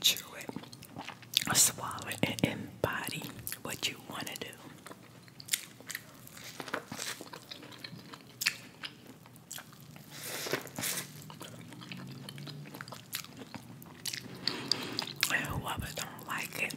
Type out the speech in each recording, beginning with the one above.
Chew it, swallow it, in body. what you want to do. And whoever don't like it,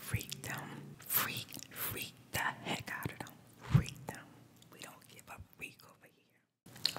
freak them. Freak, freak the heck out of them. Freak them. We don't give up freak over here.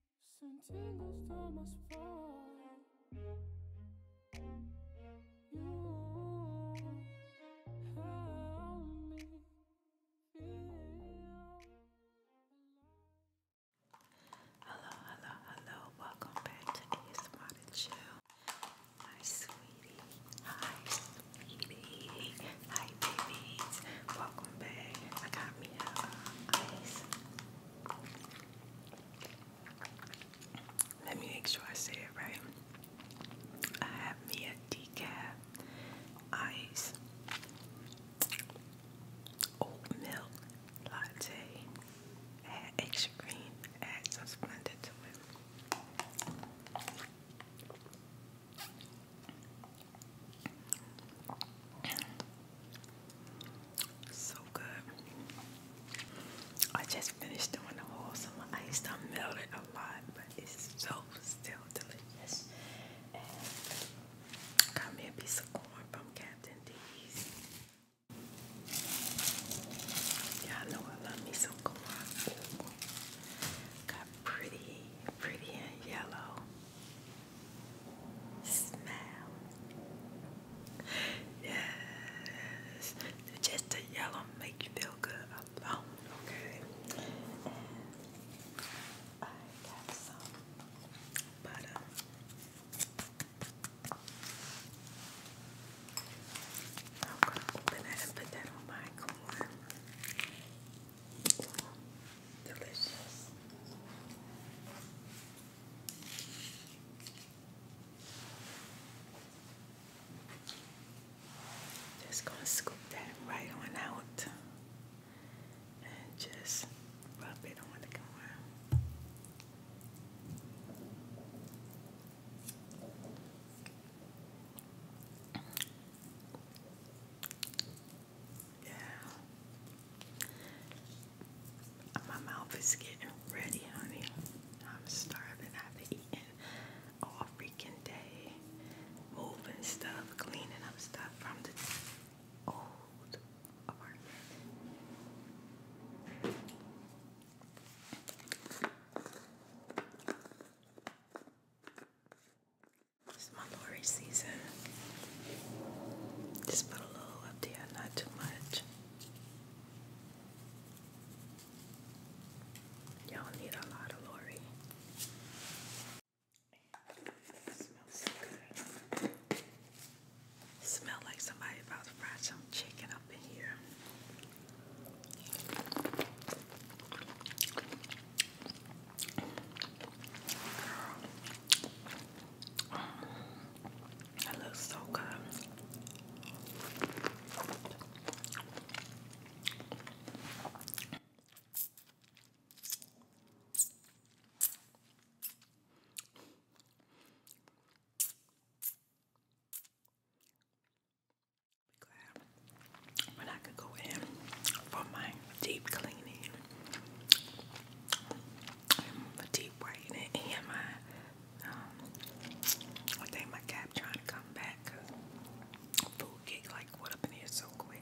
Sentindo os tomas fora. Hello, hello, hello. Welcome back to ASMR Chill. My sweetie. Hi, sweetie. Hi babies, welcome back. I got me a ice. Let me make sure I say it right. I have me a decaf ice oat milk latte. Add extra cream. Add some splendor to it. So good. I just finished doing the whole summer ice. I melt it a lot, but it's so still delicious. got me a piece of corn from Captain D's. Y'all know I love me some corn pretty, pretty and yellow. Smell. Yes. Just the yellow make you feel good alone, okay? I got some butter. I'm gonna open that and put that on my corn. Delicious. Just going to scoop that right on out and just rub it on the camera. Yeah. My mouth is getting ready, honey. I'm starving. I've been eating all freaking day. Moving stuff, cleaning up stuff from the old apartment. It's my Lori season. Just put a little up there, not too much. Y'all need a lot of Lori. smells so good. smell like somebody about to fry some chicken up in here. It looks so good. Glad when I could go in for my deep cleaning, and deep whitening, and my um, I think my cap trying to come back. food get like what up in here so quick.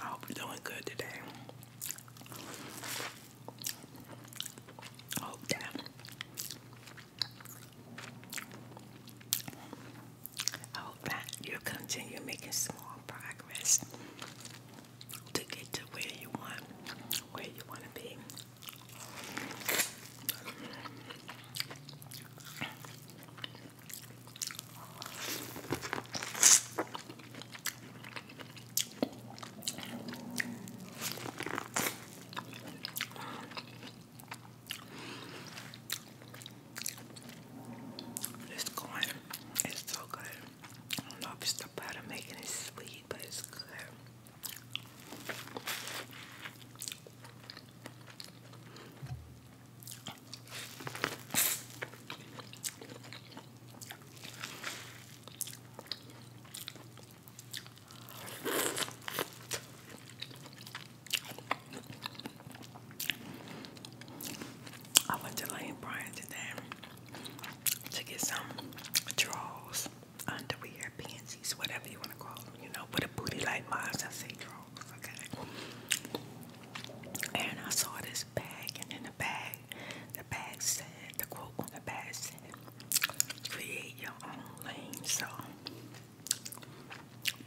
I hope you're doing good today. I hope that I hope that you continue making small progress to get to where you want, where you want to be. It's going. It's so good. I don't know if it's the of making it sweet, but it's good. I went to Lane Bryant today to get some drawers, underwear, panties, whatever you want to call them, you know, with a booty like mine, I say drawers, okay? And I saw this bag, and in the bag, the bag said, the quote on the bag said, create your own lane, so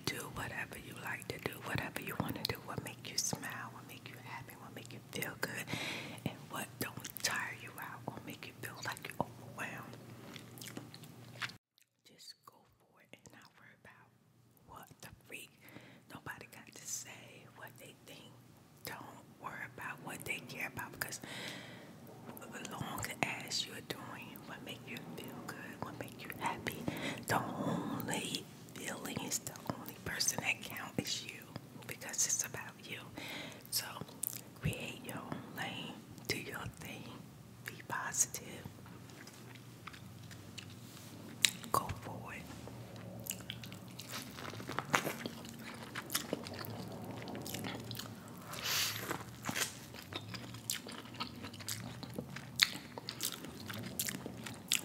do whatever you like to do, whatever you want to do, what make you smile, make you happy, what make you feel good, and what don't tire you out or make you feel like you're overwhelmed. Just go for it and not worry about what the freak nobody got to say, what they think. Don't worry about what they care about because as long as you're doing what make you feel good, what make you happy, the only feeling is the only person that counts is you because it's about you. So create your own lane, do your thing, be positive, go forward.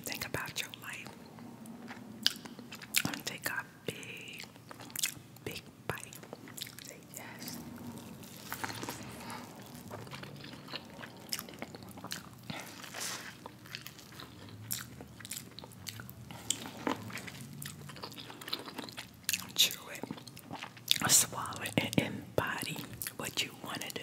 Think about your life. I'm gonna take a big, big bite. yes. Chew it, swallow it, embody what you want to do.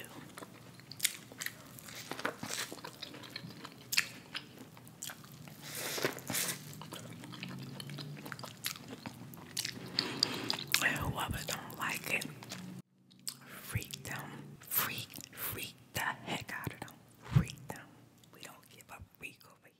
And whoever don't like it, freak them. Freak, freak the heck out of them. Freak them. We don't give up freak over here.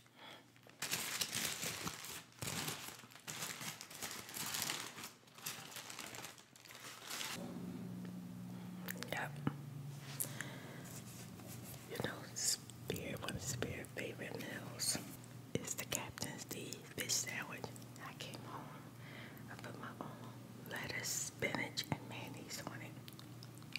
Yep. You know, spirit, one of spirit favorite meals is the Captain's D fish sandwich. I came home, I put my own lettuce, spinach, and mayonnaise on it.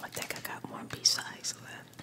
I think I got more B of ice left.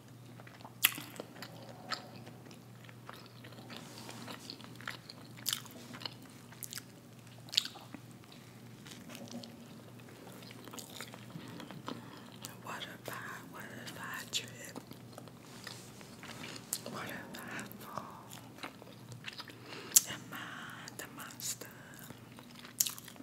What if I, what if I trip? What if I fall? Am I the monster?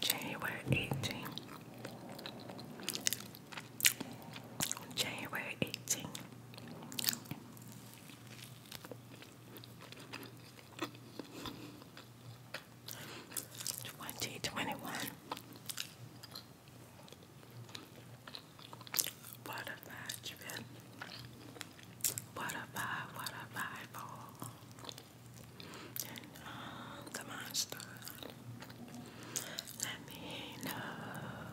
January 18 January 18th. Twenty twenty one What a vibe What a vibe, what oh. a vibe all and um, Let me know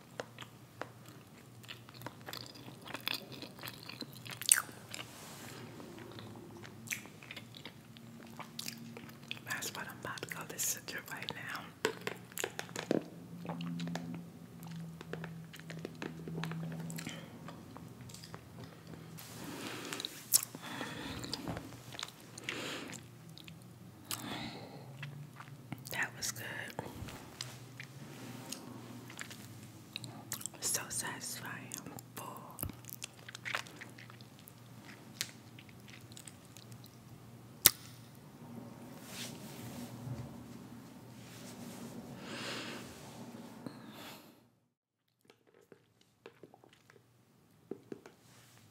That's what I'm about to go to center right now. That was good. So satisfying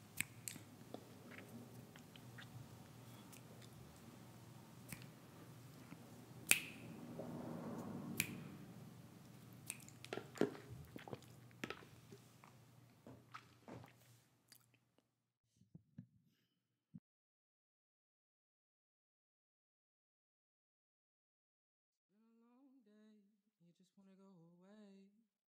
you just wanna go away.